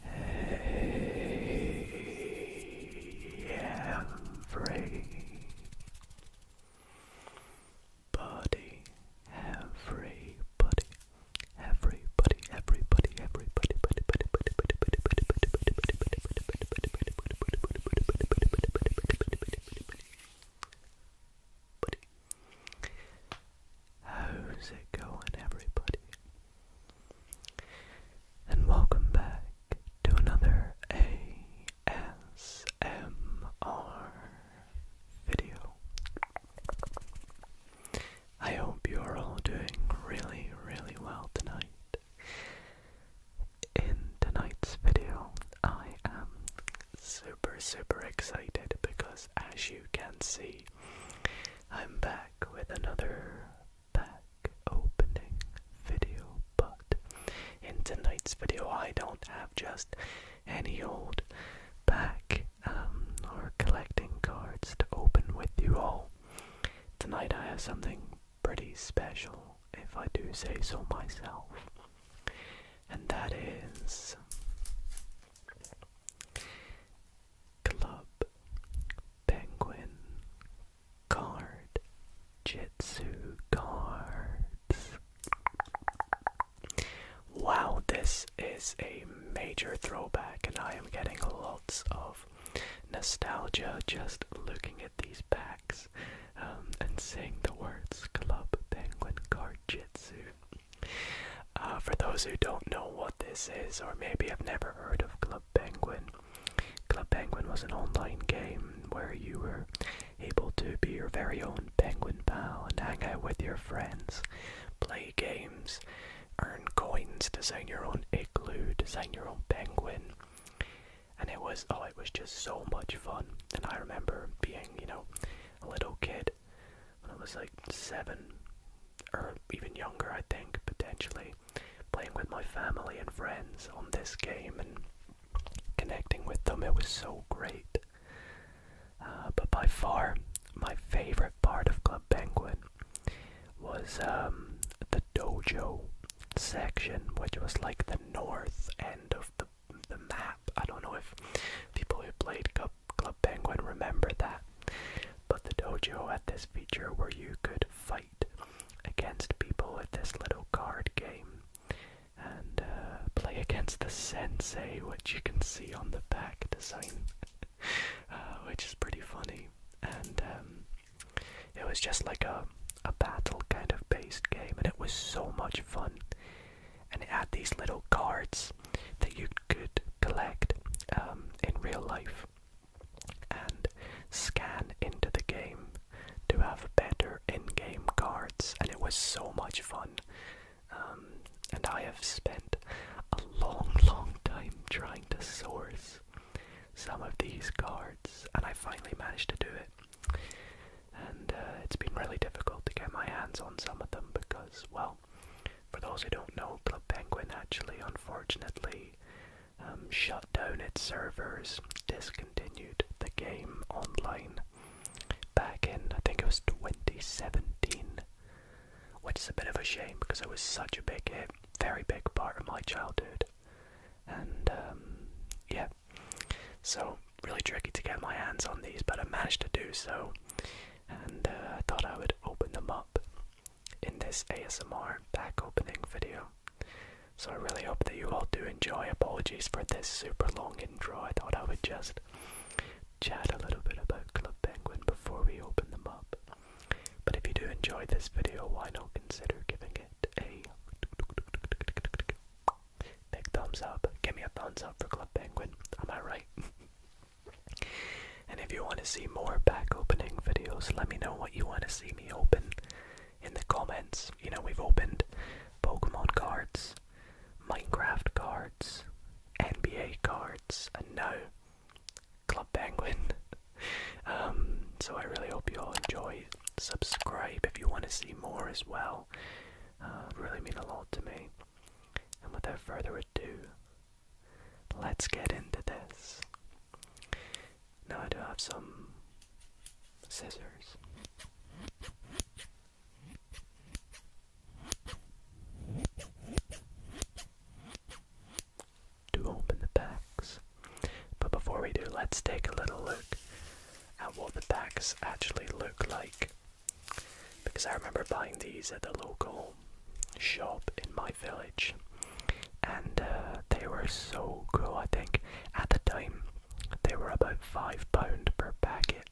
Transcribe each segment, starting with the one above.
Hey, everybody, everybody, everybody, everybody, everybody, How's it going, everybody? And welcome back to another ASMR video. I hope you are all doing really, really well tonight. In tonight's video, I am super, super excited because, as you can see, I'm back with another pack opening video, but in tonight's video, I don't have just any old pack um, or collecting cards to open with you all. Tonight, I have something pretty special, if I do say so myself, and that is club, penguin, card, jitsu cards. Wow, this is a major throwback, and I am getting lots of nostalgia just looking at these packs um, and saying the words club, penguin, card, jitsu. Uh, for those who don't know what this is, or maybe have never heard of Club Penguin, Club Penguin was an online game where you were able to be your very own penguin pal and hang out with your friends, play games, earn coins, design your own igloo, design your own penguin. And it was, oh, it was just so much fun. And I remember being, you know, a little kid when I was like seven or even younger, I think, potentially, playing with my family and friends on this game and connecting with them. It was so great. Uh, but by far, my favorite part of Club Penguin was um, the dojo section, which was like the north end of the the map. I don't know if people who played Club Club, Penguin remembered that. But the dojo had this feature where you could fight against people with this little card game and uh, play against the sensei, which you can see on the back design, uh, which is pretty funny. And um, it was just like a a battle kind of based game, and it was so much fun. And it had these little cards that you could collect um, in real life and scan into the game to have better in-game cards and it was so much fun um, and I have spent a long long time trying to source some of these cards and I finally managed to do it and uh, it's been really difficult to get my hands on some of them because well for those who don't know, Club Penguin actually, unfortunately, um, shut down its servers, discontinued the game online back in, I think it was 2017, which is a bit of a shame because it was such a big very big part of my childhood. And um, yeah, so really tricky to get my hands on these, but I managed to do so and uh, I thought I would open them up in this ASMR pack opening video. So I really hope that you all do enjoy. Apologies for this super long intro. I thought I would just chat a little bit about Club Penguin before we open them up. But if you do enjoy this video, why not consider giving it a big thumbs up? Give me a thumbs up for Club Penguin. Am I right? And if you want to see more back opening videos, let me know what you want to see me open in the comments. You know, we've opened Pokemon cards, Minecraft cards, NBA cards, and now Club Penguin. Um, so I really hope you all enjoy. Subscribe if you want to see more as well. Uh, really mean a lot to me. And without further ado, let's get into this. Now, I do have some scissors. To open the packs. But before we do, let's take a little look at what the packs actually look like because I remember buying these at the local shop in my village, and uh, they were so cool. I think at the time they were about five pound per packet,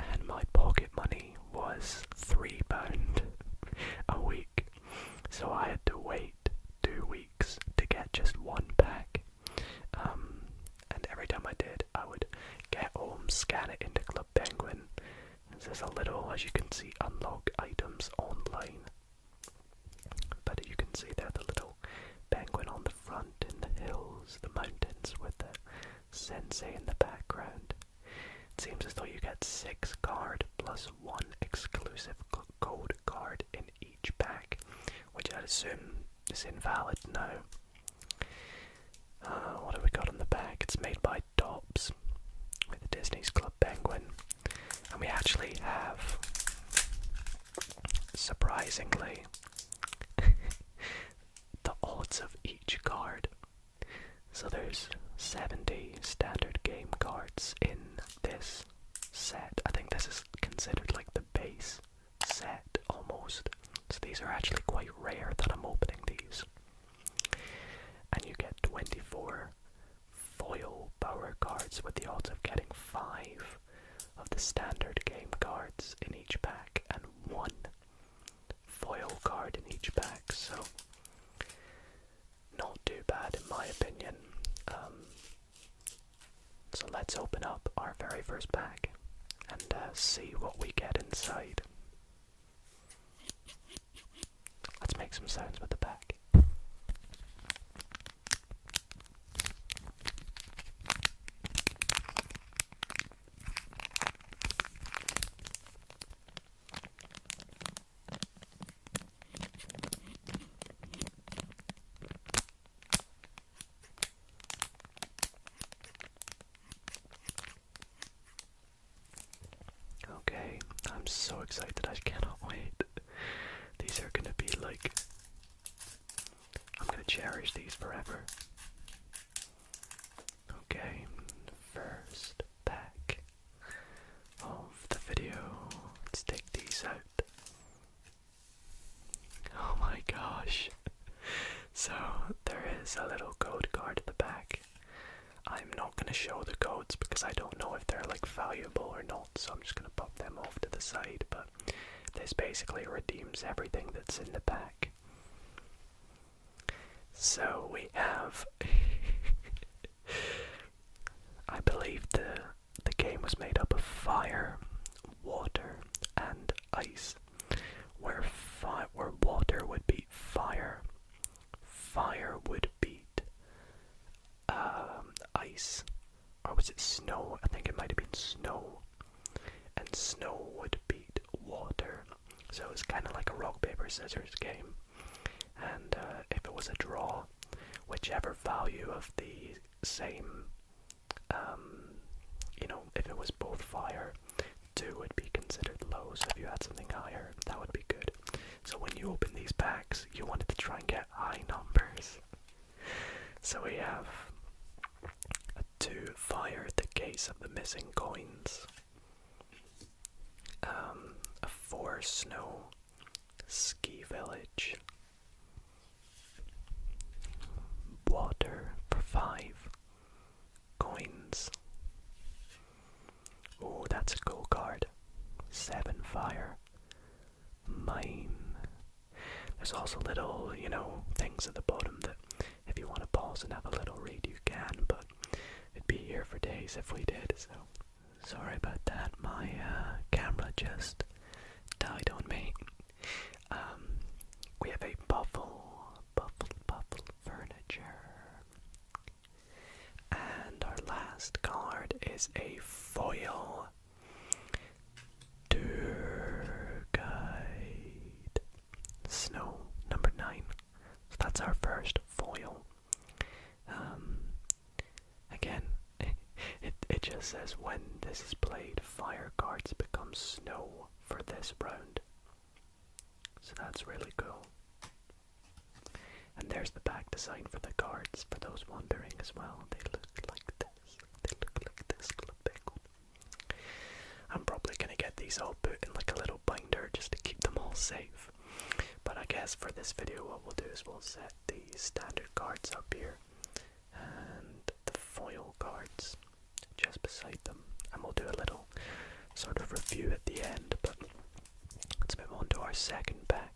and my pocket money was three pound a week, so I had to wait two weeks to get just one pack. Um, and every time I did, I would get home, scan it into Club Penguin. And there's a little, as you can see, unlock items online. But you can see there the little penguin on the front, in the hills, the mountains, with the sensei in the background. It seems as though you get six card plus one exclusive code card in each pack, which I assume is invalid now. Uh, what have we got on the back? It's made by Dops with the Disney's Club Penguin. And we actually have, surprisingly, the odds of each card. So there's 70 standard game cards in this set. I think this is considered like the base set almost. So these are actually quite rare that I'm opening these. And you get 24 foil power cards with the odds of getting 5 of the standard game cards in each pack and 1 foil card in each pack. So not too bad in my opinion. Um, so let's open up our very first pack and uh, see what we get inside. Let's make some sounds with the bag. Okay, I'm so excited, I cannot wait. These are gonna be like. I'm gonna cherish these forever. Okay, first pack of the video. Let's take these out. Oh my gosh so there is a little code card at the back. I'm not going to show the codes because I don't know if they're like valuable or not, so I'm just going to pop them off to the side. But this basically redeems everything that's in the back. So we have. I believe the the game was made up of fire, water, and ice where fi where water would beat fire, fire would beat um, ice, or was it snow? I think it might have been snow, and snow would beat water. So it's kind of like a rock paper scissors game, and uh, if it was a draw, whichever value of the same um, you know, if it was both fire, two would be considered low. So if you had something higher, that would be good. So when you open these packs, you wanted to try and get high numbers. So we have a two fire, the case of the missing coins. Um, a four snow ski village. Water for five coins. Oh, that's a go card. Seven fire. Mine. There's also little, you know, things at the bottom that if you want to pause and have a little read, you can, but it'd be here for days if we did, so. Sorry about that, my uh, camera just died on me. Um, we have a buffle, buffle, buffle furniture. And our last card is a foil tour guide. Snow number nine. So that's our first foil. Um, again, it, it just says when this is played, fire cards become snow for this round. So that's really cool. And there's the back design for the cards for those wondering as well. They look like this. They look like this little big one. I'm probably gonna get these all put in like a little binder just to keep them all safe. But I guess for this video what we'll do is we'll set the standard cards up here and the foil cards just beside them. And we'll do a little sort of review at the end, but let's move on to our second pack.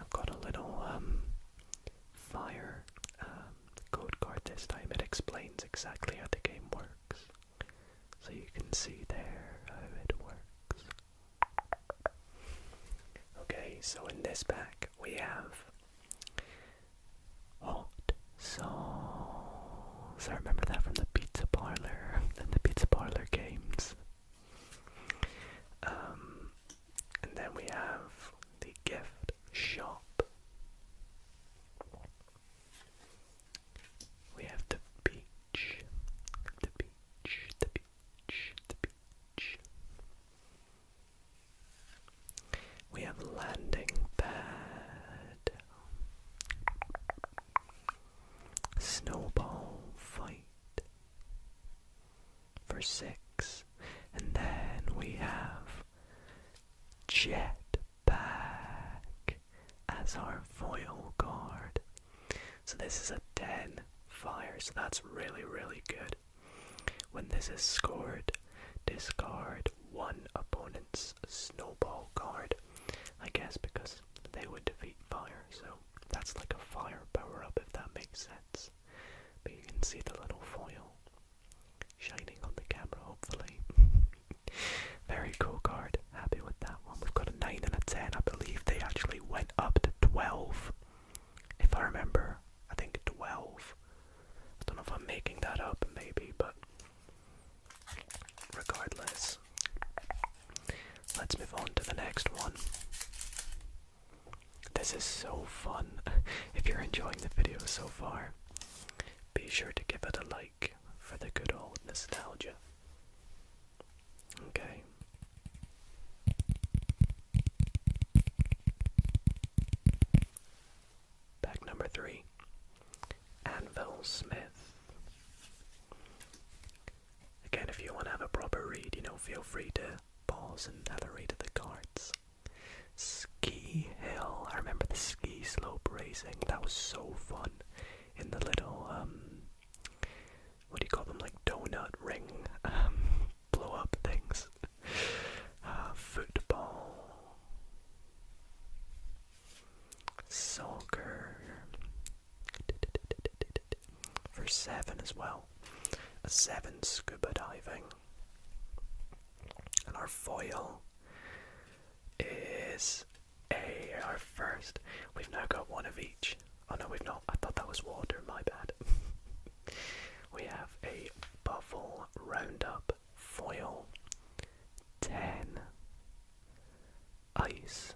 I've got a little um, fire um, code card this time, it explains exactly how the game works. So you can see there how it works. Okay, so in this pack we have hot sauce. I remember that from the pizza parlor and the pizza parlor games. Um, and then we have the gift shop. We have the beach, the beach, the beach, the beach. We have landing pad, snowball fight, for six. And then we have Jetpack as our foil card. So this is a 10 fire, so that's really, really good. When this is scored, discard one opponent's snowball card. I guess because they would defeat fire, so that's like a fire power up if that makes sense. But you can see the little foil shining on the camera, hopefully. Very cool card. Happy with that one. We've got a 9 and a 10. I believe they actually went up to 12. If I remember, I think 12. I don't know if I'm making that up, maybe, but regardless, let's move on to the next one. This is so fun. if you're enjoying the video so far, be sure to give it a like for the good old nostalgia. Okay. Back number three Anvil Smith. Again, if you want to have a proper read, you know, feel free to pause and have the cards. Ski hill. I remember the ski slope racing. That was so fun. In the little um, what do you call them? Like donut ring, um, blow up things. Uh, football, soccer. For seven as well. seven scuba diving. And our foil is a our first. We've now got one of each. Oh no, we've not. I thought that was water, my bad. we have a Buffle Roundup Foil 10 Ice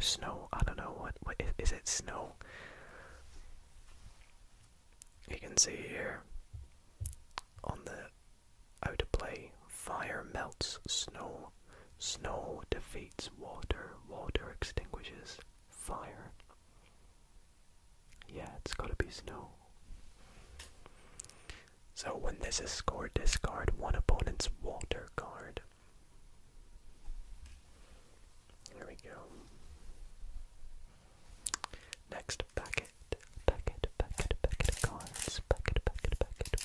Snow. I don't know what, what is, it snow? You can see here on the outer play, fire melts snow, snow defeats water, water extinguishes fire. Yeah, it's gotta be snow. So when this is scored, discard one opponent's water card. There we go. Next packet, packet, packet, packet of packet, packet, packet, packet, packet.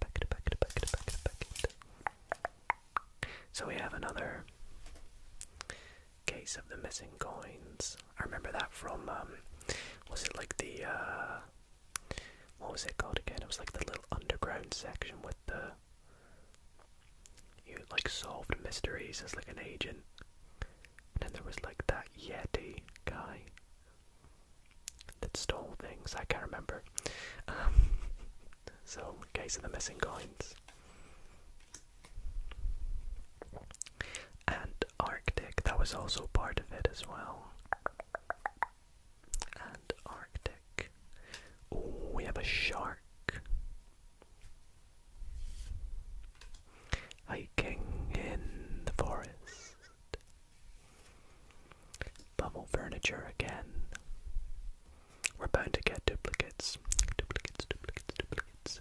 Packet, packet, packet, packet, So we have another case of the missing coins. I remember that from um, was it like the uh, what was it called again? It was like the little underground section with the you like solved mysteries as like an agent. And then there was like that Yeti guy that stole things. I can't remember. Um, so, case of the missing coins. And Arctic, that was also part of it as well. And Arctic stick. Oh, we have a shark. Hiking in the forest. Bubble furniture again. We're bound to get duplicates. Duplicates, duplicates, duplicates.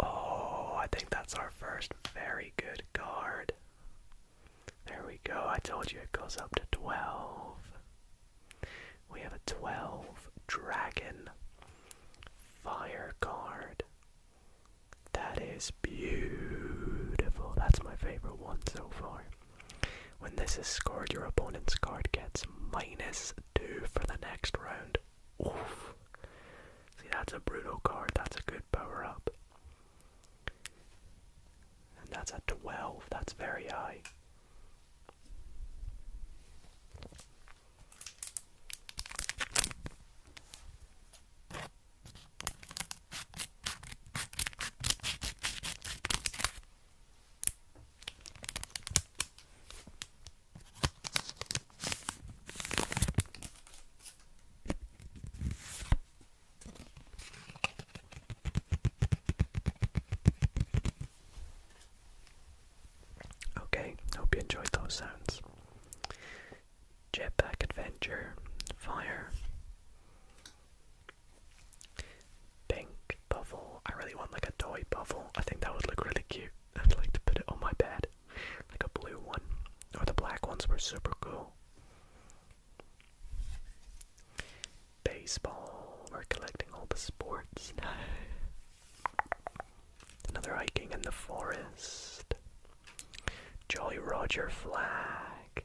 Oh, I think that's our first very good card. There we go, I told you it goes up to 12. We have a 12 dragon fire card. That is beautiful. That's my favorite one so far. When this is scored, your opponent's card gets minus 2 for the next round. Oof. See, that's a brutal card. That's a good power up. And that's at 12. That's very high. Okay, hope you enjoyed those sounds. Jetpack Adventure, Fire, Pink Puffle. I really want like a toy puffle. I think that would look really cute. I'd like to put it on my bed. Like a blue one. Or the black ones were super cool. Baseball. We're collecting all the sports Another hiking in the forest. Jolly Roger flag.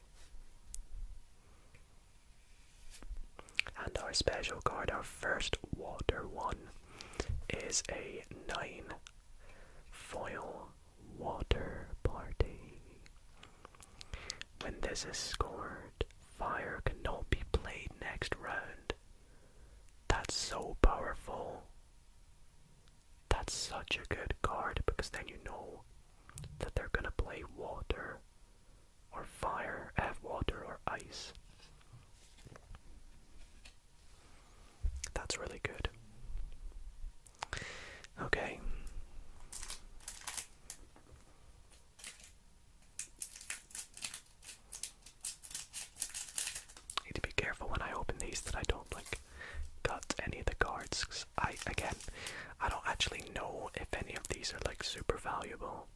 And our special card, our first water one, is a 9 foil water party. When this is scored, fire cannot be played next round. That's so powerful. That's such a good card because then you know that they're gonna play water or fire, I eh, have water or ice. That's really good. Okay. Need to be careful when I open these that I don't like cut any of the cards. I again, I don't actually know if any of these are like super valuable.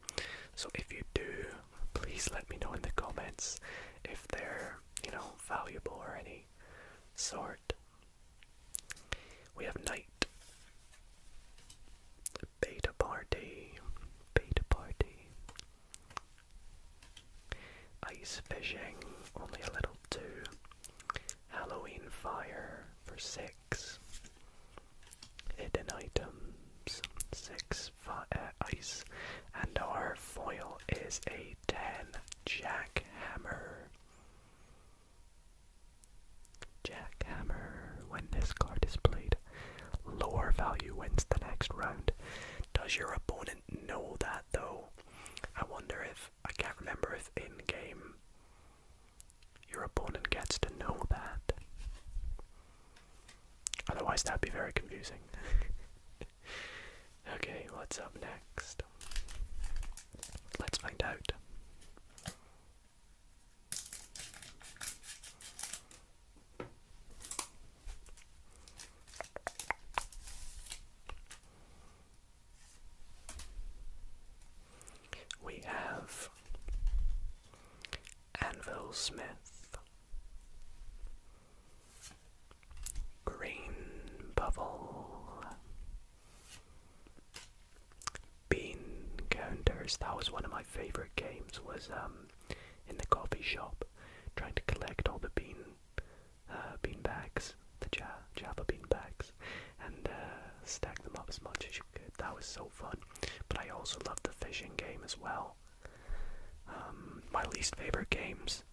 So if you do, please let me know in the comments if they're you know valuable or any sort. We have night, Beta Party. Beta Party. Ice Fishing, only a little too. Halloween Fire for six. Hidden Items, six ice. And our foil is a 10 Jackhammer. Jackhammer. When this card is played, lower value wins the next round. Does your opponent know that though? I wonder if, I can't remember if in game your opponent gets to know that. Otherwise, that'd be very confusing. Okay, what's up next? Let's find out. We have Anvil Smith, Green bubble. Bean counters. That was one of my favorite games. Was um, in the coffee shop, trying to collect all the bean, uh, bean bags, the Java bean bags, and uh, stack them up as much as you could. That was so fun. But I also loved the fishing game as well. Um, my least favorite games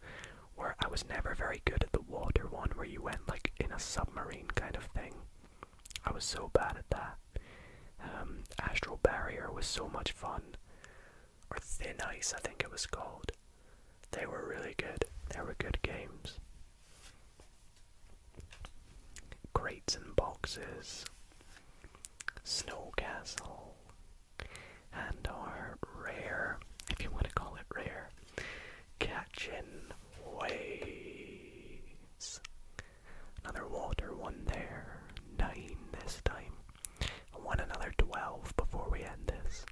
where I was never very good at the water one where you went like in a submarine kind of thing. I was so bad at that. Um, Astral Barrier was so much fun. Or Thin Ice, I think it was called. They were really good. They were good games. Crates and boxes. Snow Castle. And our rare, if you want to call it rare, Catching waves. Another water one there. Nine this time. one another twelve before we end this.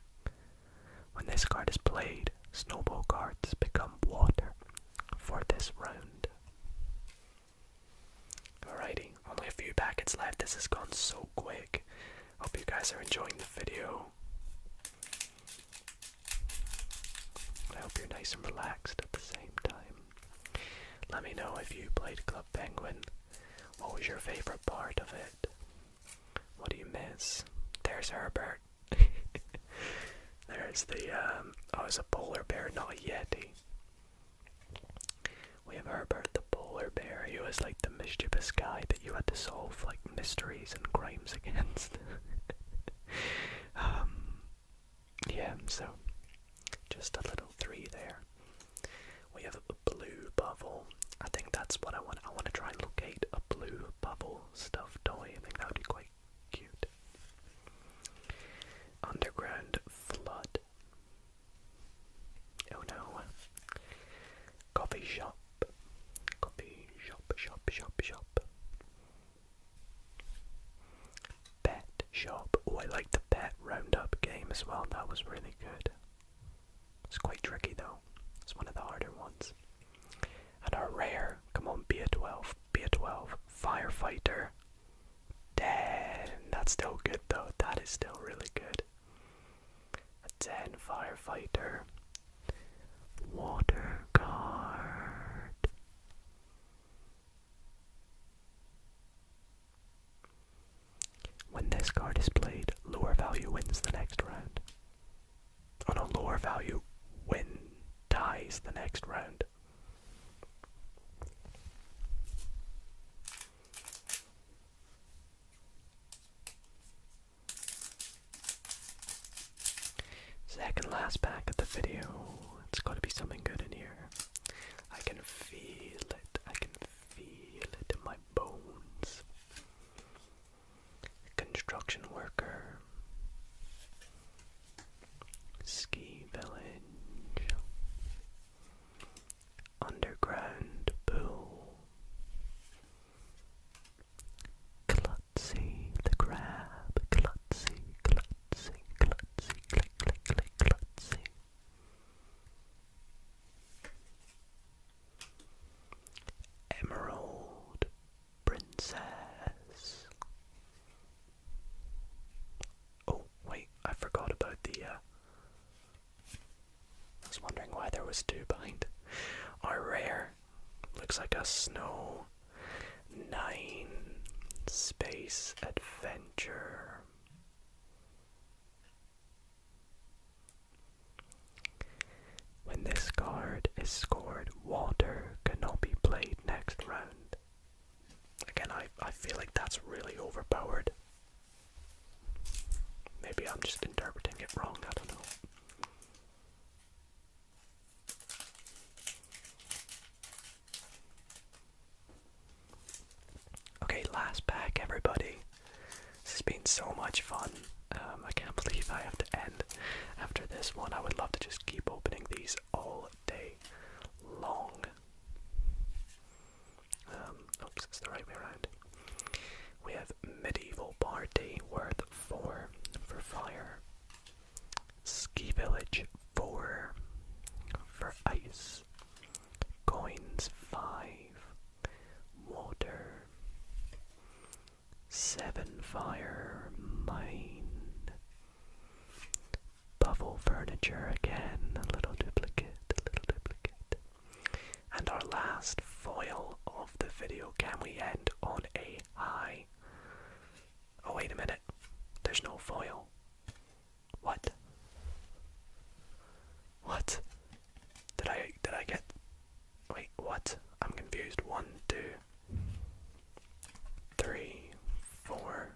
When this card is played, snowball cards become water for this round. Alrighty, only a few packets left. This has gone so quick. Hope you guys are enjoying the video. I hope you're nice and relaxed at the same time. Let me know if you played Club Penguin. What was your favorite part of it? What do you miss? There's Herbert. There's the, um, oh, it's a polar bear, not a yeti. We have Herbert the polar bear. He was like the mischievous guy, you had to solve like mysteries and crimes against. Um, yeah, so just a little three there. We have a blue bubble. I think that's what I want. I want to try and locate a blue bubble stuffed toy. I think that would be quite cute. Underground flood. Oh no coffee shop, coffee shop, shop, shop, shop. Pet shop. Oh, I like the pet roundup game as well. That was really good. It's quite tricky though. It's one of the harder ones. And our rare. Come on, be a twelve. Be a twelve. Firefighter. Damn, that's still good though. That is still really good a ten firefighter, water guard. When this card is played, lower value wins the next round. On a lower value win ties the next round. Second last pack of the video. It's gotta be something good in here. I can feel it. I can feel it in my bones. Construction worker. Ski village. Underground pool. Klutzy the crab, Klutzy, Klutzy, Klutzy, click, click, click, Klutzy. Emerald Princess. Oh, wait, I forgot about the uh, I was wondering why there was two behind. Our rare looks like a snow nine space adventure. When this card is scored, water cannot be played next round. Again, I, I feel like that's really overpowered. Maybe I'm just interpreting it wrong, I don't know. Okay, last pack, everybody. This has been so much fun. Um, I can't believe I have to end after this one. I would love to just keep opening these all day long. Um, oops, it's the right way around. We have medieval party, worth four for fire. Ski village, four for ice. Coins, five. Water, seven fire, mind. Bubble furniture again, a little duplicate, a little duplicate. And our last foil of the video, can we end on a high? Oh, wait a minute. There's no foil. What? What? Did I did I get wait, what? I'm confused. One, two, three, four,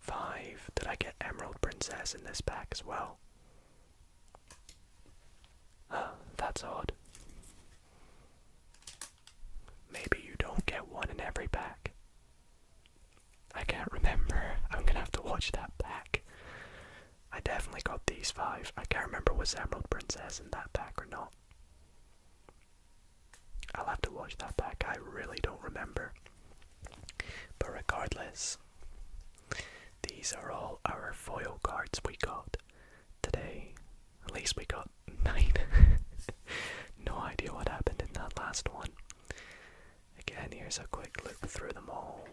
five. Did I get Emerald Princess in this pack as well? that's odd. Maybe you don't get one in every pack. I can't remember. I'm gonna have to watch that pack. I definitely got these five. I can't remember was Emerald Princess in that pack or not. I'll have to watch that pack. I really don't remember. But regardless, these are all our foil cards we got today. At least we got nine. no idea what happened in that last one. Again, here's a quick look through them all.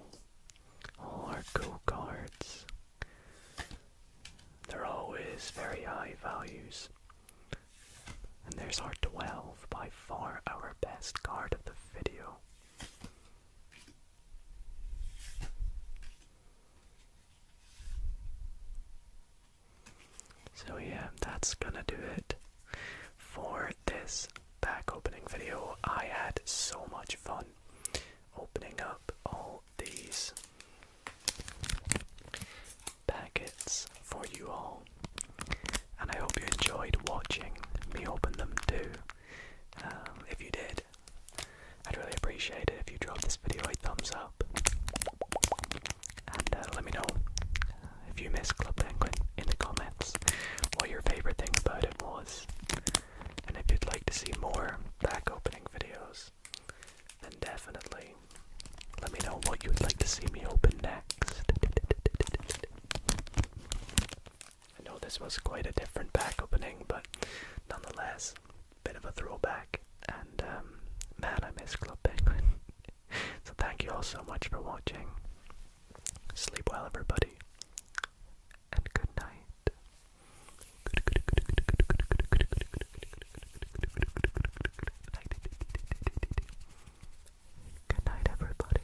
All our cool cards. They're always very high values. And there's our 12, by far our best card of the video. So yeah, that's gonna do it for this back opening video. I had so much fun opening up all these packets for you all and I hope you enjoyed watching me open them too. Um, if you did, I'd really appreciate it if you drop this video a thumbs up and uh, let me know uh, if you missed Club Penguin in the comments what your favorite thing about it was, and if you'd like to see more back opening videos, then definitely let me know what you'd like to see me open next. I know this was quite a different pack opening, but nonetheless, bit of a throwback. And um, man, I miss Club Penguin. so thank you all so much for watching. Sleep well, everybody, and good night. Good night, everybody.